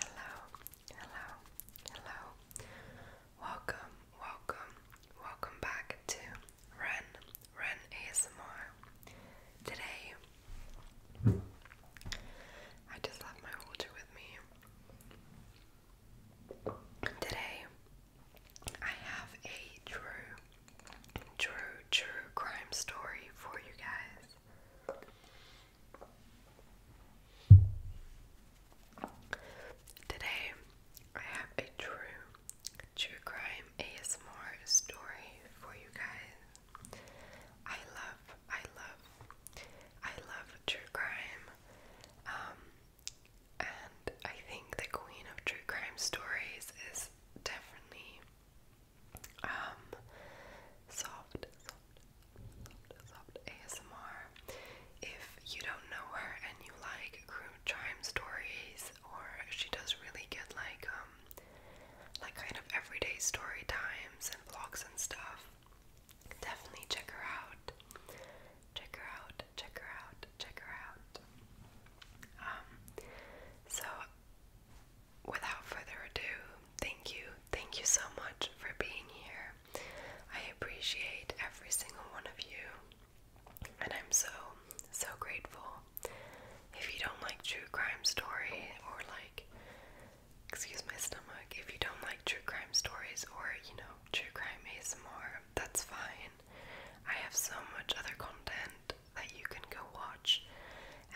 Hello, hello, hello. Welcome, welcome, welcome back to Ren, Ren ASMR. Today, I just left my holder with me. Today, I have a true, true, true crime story for you guys. Today, I have a true, true crime ASMR story for you guys. I love, I love, I love true crime. Um, and I think the queen of true crime stories is definitely um, soft, soft, soft, soft ASMR. If you don't know her and you like crude charm stories, or she does really good like um, like kind of everyday story times and vlogs and stuff, definitely check her out. Check her out. Check her out. Check her out. Um, so without further ado, thank you. Thank you so much for being here. I appreciate every single one of you, and I'm so, so grateful. If you don't like true crime story, or like, excuse my stomach, if you don't like true crime stories, or you know, true crime ASMR, that's fine. I have so much other content that you can go watch.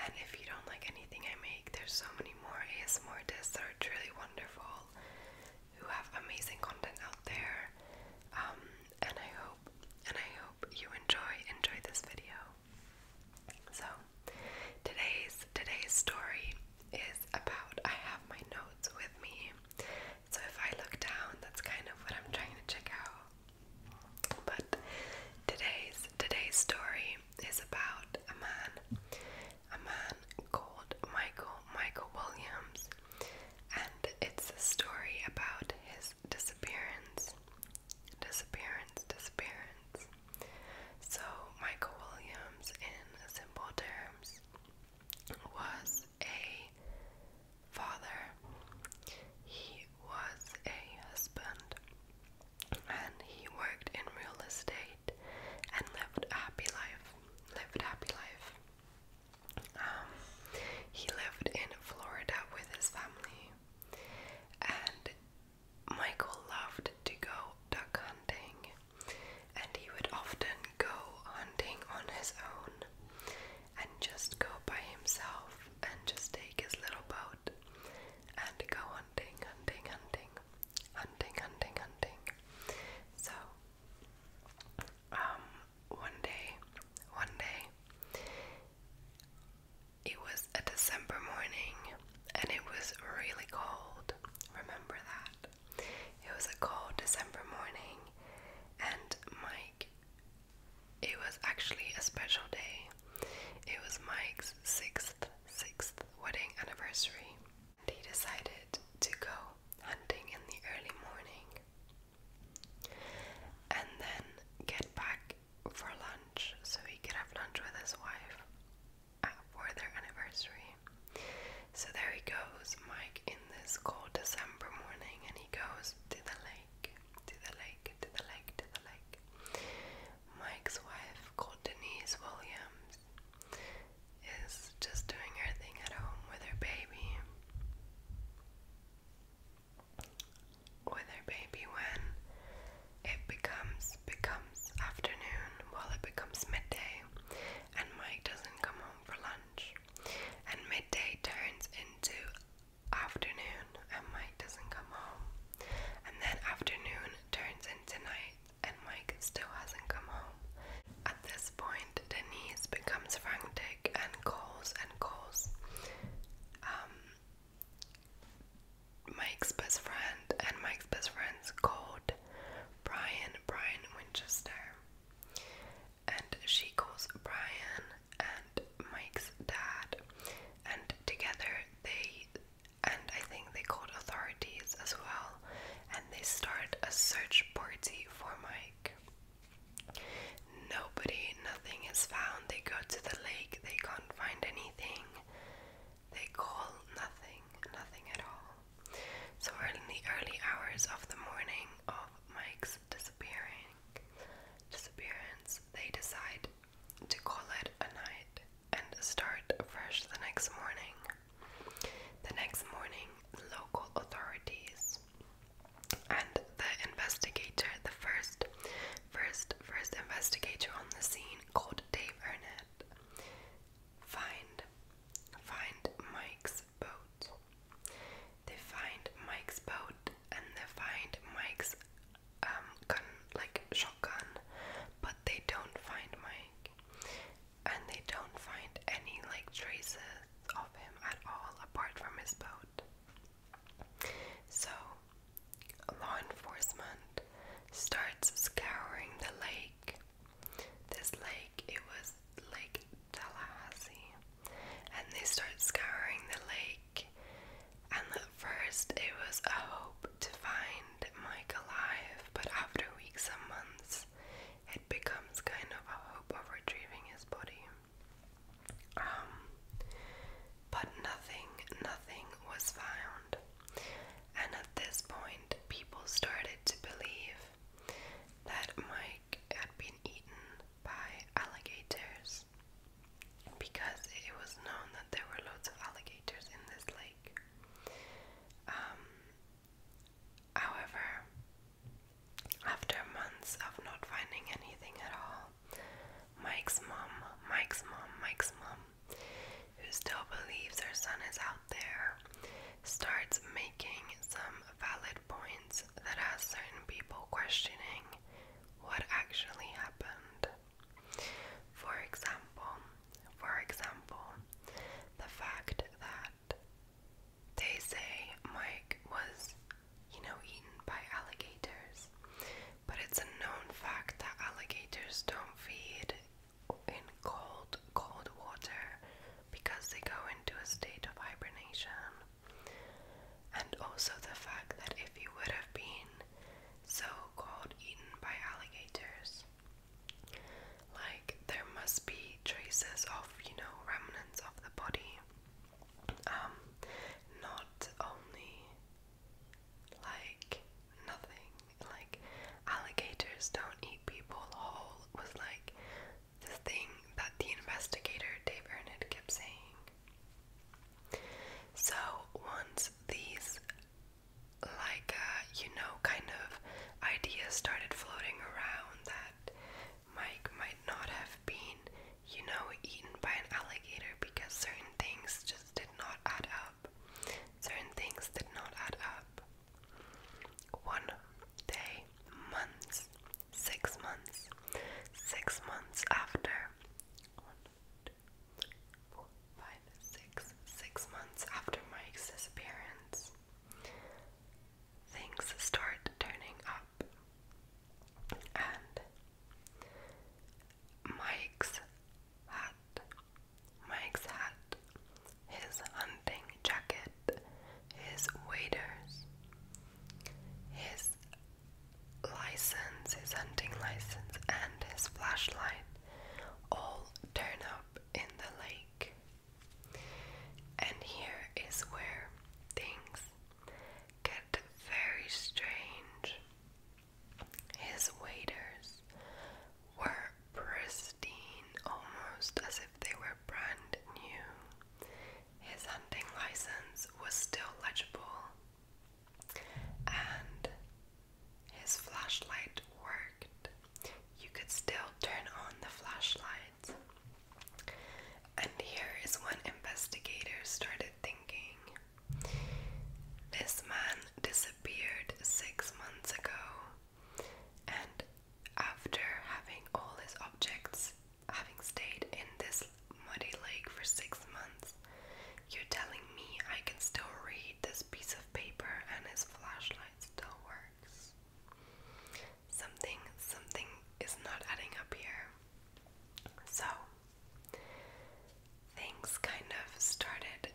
And if you don't like anything I make, there's so many more ASMR artists that are truly wonderful, who have amazing content out there. Um, and I hope, and I hope you enjoy enjoy this video. So today's today's story is about I have my notes with me. So if I look down, that's kind of what I'm trying to check out. But today's today's story is about a man, a man called Michael Michael Williams, and it's a story about his disappearance, disappearance, disappearance. So Michael Williams, in simple terms, was a father. He was a husband and he worked in real estate and lived a happy life. Lived happy life. Um, he lived in Florida with his family, and Michael loved to go duck hunting, and he would often go hunting on his own and just go by himself and just take his little boat and go on hunting, hunting, hunting, hunting, hunting, hunting. So, um, one day, one day, it was a December morning and it was really cold. Remember that. It was a cold December morning, and Mike, it was actually a special day. It was Mike's sixth, sixth wedding anniversary, and he decided to go hunting in the early morning and then get back for lunch so he could have lunch with his wife for their anniversary. So there he goes, Mike, in this cold December morning, and he goes to the lake, to the lake, to the lake, to the lake. Mike's wife, called Denise Williams, is just doing her thing at home with her baby. With her baby when it becomes becomes afternoon well, it becomes midday and Mike doesn't come home for lunch. And midday turns into afternoon and Mike doesn't come home. And then afternoon turns into night and Mike still hasn't come home. At this point, Denise becomes frantic and calls and calls. Um, Mike's best friend and Mike's best friend's called Brian, Brian Winchester. And she calls Brian and Mike's dad, and together they and I think they called authorities as well, and they start a search party for Mike. Nobody, nothing is found. They go to the lake, they can't find anything. They call nothing, nothing at all. So, in the early hours of the morning of Mike's disappearing disappearance, they decide to call it a night and start fresh the next morning. The next morning, local authorities and the investigator, the first, first, first investigator on the scene called Dave Arnett, find, find Mike's boat. They find Mike's boat and they find Mike's um gun like shotgun, but they don't find Mike, and they don't find any like traces of him at all apart from his boat. So, law enforcement starts scouring the lake. This lake, it was Lake Tallahassee, and they start scouring the lake, and the first, it was a hope to find Mike alive, but after weeks and months, it becomes kind of a hope of retrieving his body. Um, but nothing, nothing was found. And at this point, people started to believe that Mike had been eaten by alligators because it was known that there were loads of alligators in this lake. Um, however, after months of not finding anything at all, Mike's mom, Mike's mom, Mike's mom, who still believes her son is out there, starts making some valid points that has certain people questioning what actually happened. For example, for example, the fact that they say Mike was, you know, eaten by alligators, but it's a known fact that alligators don't feed in cold, cold water because they go into a state of hibernation and also the fact that if he would have been so called eaten by alligators, like there must be traces of, you know, remnants of the body, um, not only like nothing, like alligators don't eat people whole was like the thing that the investigator Dave Ernest kept saying. So once these like uh, you know kind of ideas started floating around that Mike might not have been you know eaten by an alligator because certain things just did not add up. Certain things did not add up. One day, months, six months, six months after, four, five, six, six months after Mike's disappearance, things start turning up. And Mike's hat, Mike's hat, his hunting jacket, his waders, his license, his hunting license, and his flashlight all turn up in the lake. And here is where things get very strange. His waiters were pristine, almost as if they were brand new. His hunting license was still legible, and his flashlight worked. You could still turn on the flashlight. And here is when investigators started thinking this man disappeared six months ago, and after having all his objects having stayed in this muddy lake for six months. You're telling me I can still read this piece of paper and his flashlight still works. Something, something is not adding up here. So, things kind of started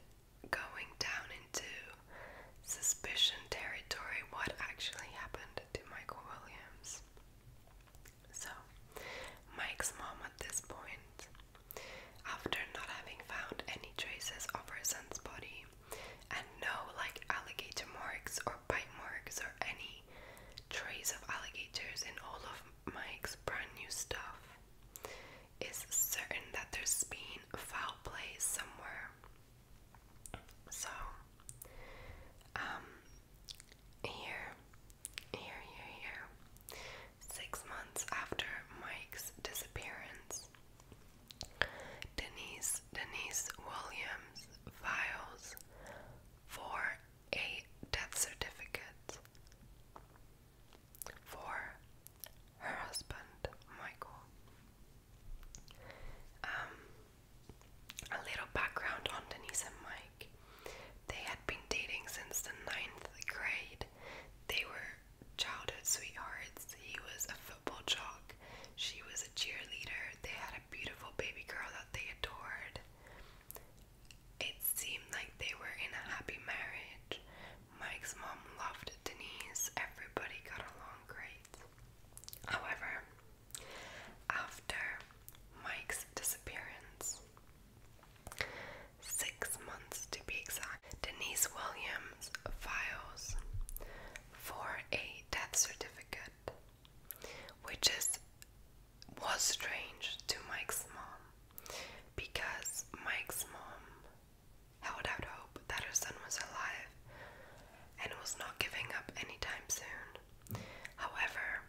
going down into suspicion territory what actually happened to Michael Williams. So, Mike's mom at this point, after not having found any traces of her son's body and no like alligator marks or bite marks or any trace of alligators in all of Mike's brand new stuff, is certain that there's been foul play somewhere. So, um, here, here, here, here, Six months after Mike's disappearance, Denise Denise Williams files for a death certificate for her husband Michael. Um, a little background on Denise and Mike they had been dating since the ninth grade. They were childhood sweethearts. He was a football jock. She was a cheerleader. They had a beautiful baby girl that they adored. It seemed like they were in a happy marriage. Mike's mom loved Denise. Everybody got along great. However, after Mike's disappearance, Six months to be exact. Denise Williams files for a death certificate, which is was strange to Mike's mom because Mike's mom held out hope that her son was alive and was not giving up anytime soon. However,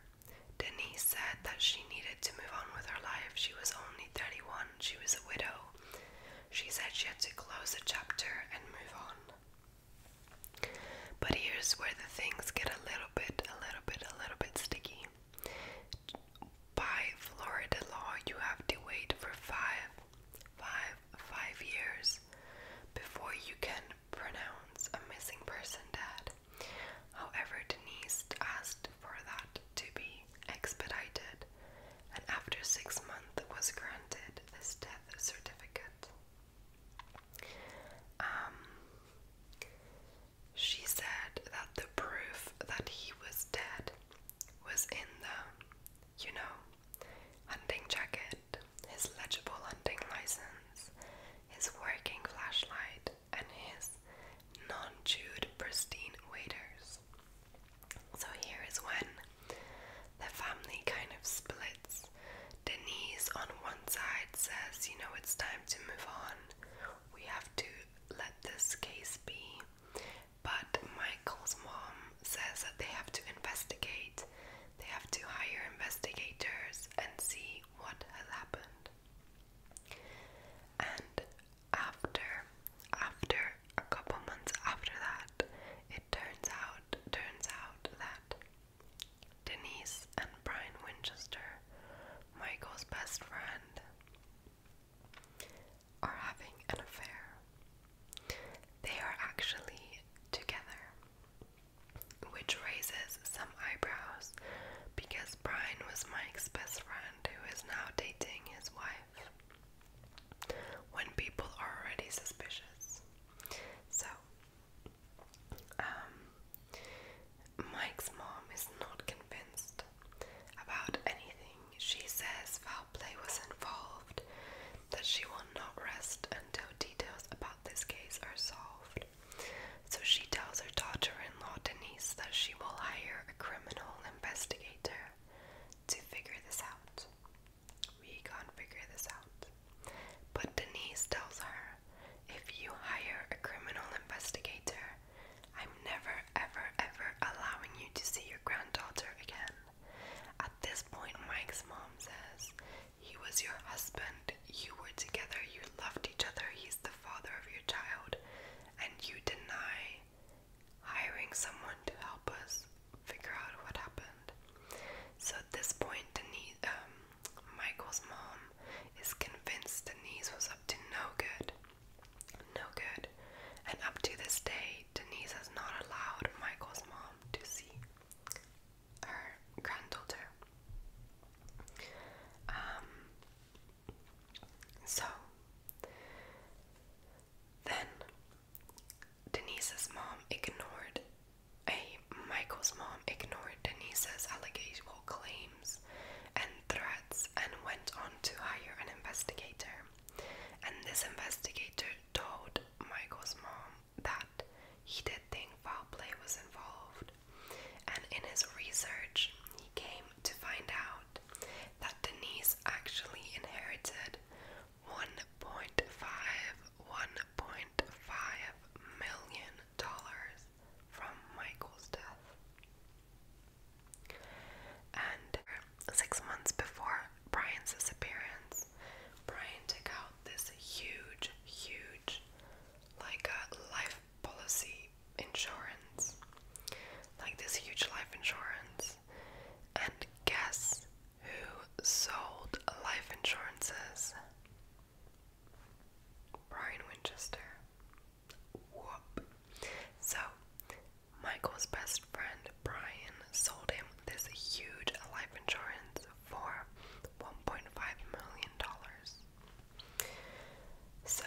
Denise said that she needed to move on with her life. She was only 31, she was a widow. She said she had to close a chapter and move on. But here's where the things get a little bit, a little bit, a little bit sticky. By Florida law, you have to wait for five, five, five years before you can pronounce a missing person dead. However, Denise asked for that to be expedited, and after six months was granted this death certificate. Um, she said that the proof that he was dead was in the, you know, hunting jacket, his legible hunting license, his working flashlight, and his non jude pristine waiters. So here is when the family kind of splits. Denise on one side says, you know, it's time to move on. We have to let this case be. But Michael's mom says that they have to investigate. They have to hire investigators and see what has happened. And after, after a couple months after that, it turns out, turns out that Denise and Brian Winchester, Michael's best friend, are having an affair. They are actually together which raises some eyebrows because Brian was Mike's best friend who is now dating his wife when people are already suspicious. So, um, Mike's mom is not convinced about anything. She says foul play was involved, that she will not rest until details about this case are solved. So she tells her daughter in law, Denise, that she will hire a criminal investigator to figure this out. We can't figure this out. But Denise tells her, if you hire a criminal investigator, I'm never, ever, ever allowing you to see your granddaughter again. At this point, Mike's mom says, He was your husband, you were together, you loved each other, He's the father of your child, and you deny hiring someone to help us figure out what happened. So at this point, Denise, um, Michael's mom is convinced Denise was up to no good. No good. And up to this day, Denise has not allowed Michael's mom to see her granddaughter. Um, so then Denise's mom ignored a Michael's mom ignored Denise's allegations claims and threats and went on to hire an investigator. And this investigator told Michael's mom that he did think foul play was involved and in his research, he came to find out that Denise actually inherited 1.5 1.5 million dollars from Michael's death. And six months before Brian's disappearance, Brian took out this huge, huge, like a life policy insurance, like this huge life insurance, and guess who sold life insurances? Brian Winchester. Whoop. So, Michael's best friend Brian sold him this huge life insurance for $1.5 million. So,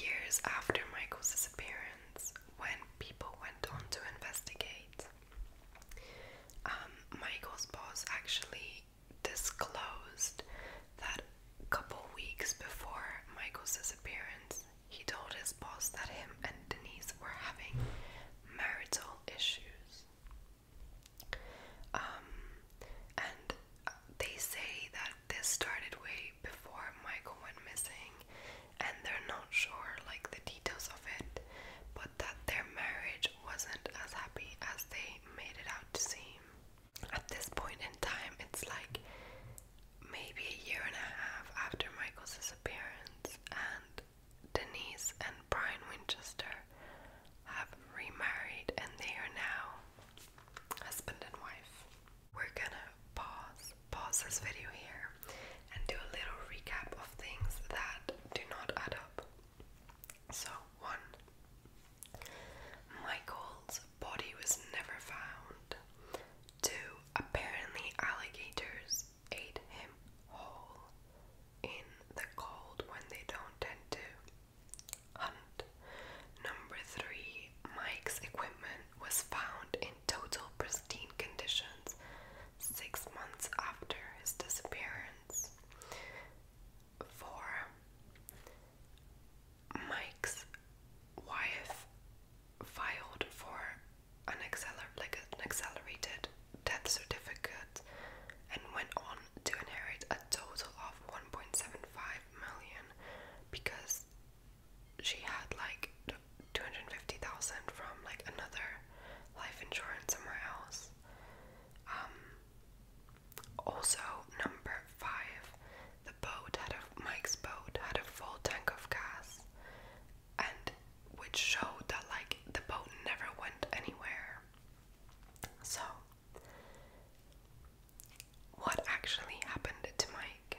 years after Michael's disappearance, when people went on to investigate, um, Michael's boss actually disclosed that a couple weeks before Michael's disappearance, he told his boss that him and Denise were having marital issues. Um, and they say that this started way before Michael went missing, and they're not sure like the details of it, but that their marriage wasn't as happy as they made it out to seem. At this point in time, it's like maybe a year and a half after Michael's disappearance, and Denise and Brian Winchester have remarried, and they are now husband and wife. We're gonna pause pause this video here and do a little recap of things that do not add up. So one Michael's body was never found. Two apparently alligators ate him whole in the cold when they don't tend number three, Mike's equipment was found in total pristine conditions six months after his disappearance. Four, Mike's wife filed for an accelerated death certificate and went on to inherit a total of 1.75 million because she had like 250,000 from like another life insurance somewhere else. Um, also, number five, the boat had a Mike's boat had a full tank of gas, and which showed that like the boat never went anywhere. So what actually happened to Mike?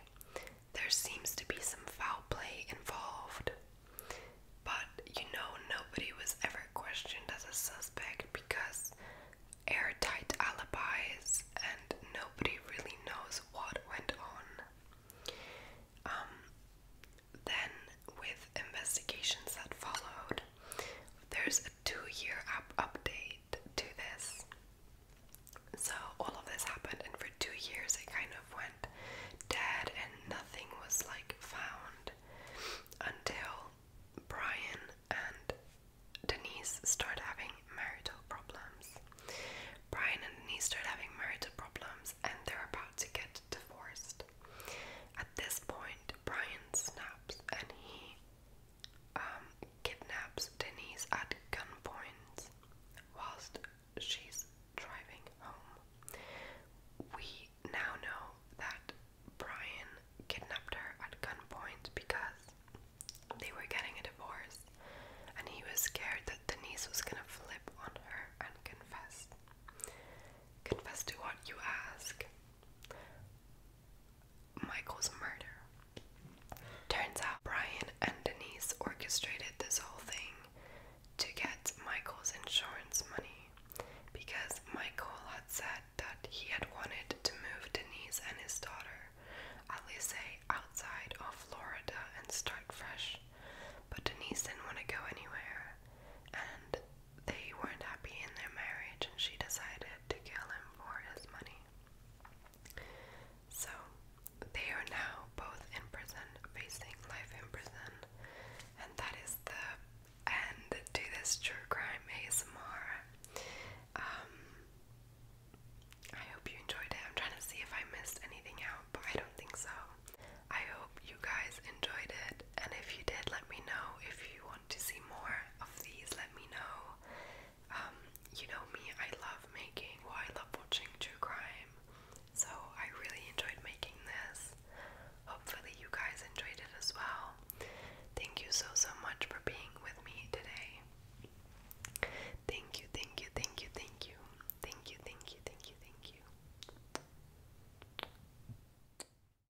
There seems to be some foul play involved. But you know, nobody was ever questioned as a suspect because airtight alibis and nobody really knows what went on. Um, then, with investigations that followed, there's two-year update to this. So all of this happened, and for two years it kind of went dead, and nothing was like found until Brian and Denise start having marital problems. Brian and Denise started having marital problems, and they're about to get divorced. At this point, Brian snaps and he um, kidnaps Denise at gunpoint whilst she's driving home. We now know that Brian kidnapped her at gunpoint because they were getting a divorce and he was scared that Denise was gonna flip on her and confess. Confess to what you ask. Michael's murder. Turns out Brian and Denise orchestrated this whole thing to get Michael's insurance money because Michael had said that he had wanted to move Denise and his daughter, Alice, outside of Florida and start fresh. But Denise didn't want to go anywhere, and they weren't happy in their marriage, and she decided to kill him for his money. So they are now both in prison, facing life in prison, and that is the end to this true crime ASMR. Um, I hope you enjoyed it. I'm trying to see if I missed anything out, but I don't think so. I hope you guys enjoyed it, and if you did, let me know if you want to see more of these, let me know. Um, you know me, I love making, well, I love watching true crime, so I really enjoyed making this. Hopefully, you guys enjoyed it as well. Thank you so, so much for being with me today. Thank you, thank you, thank you, thank you. Thank you, thank you, thank you, thank you.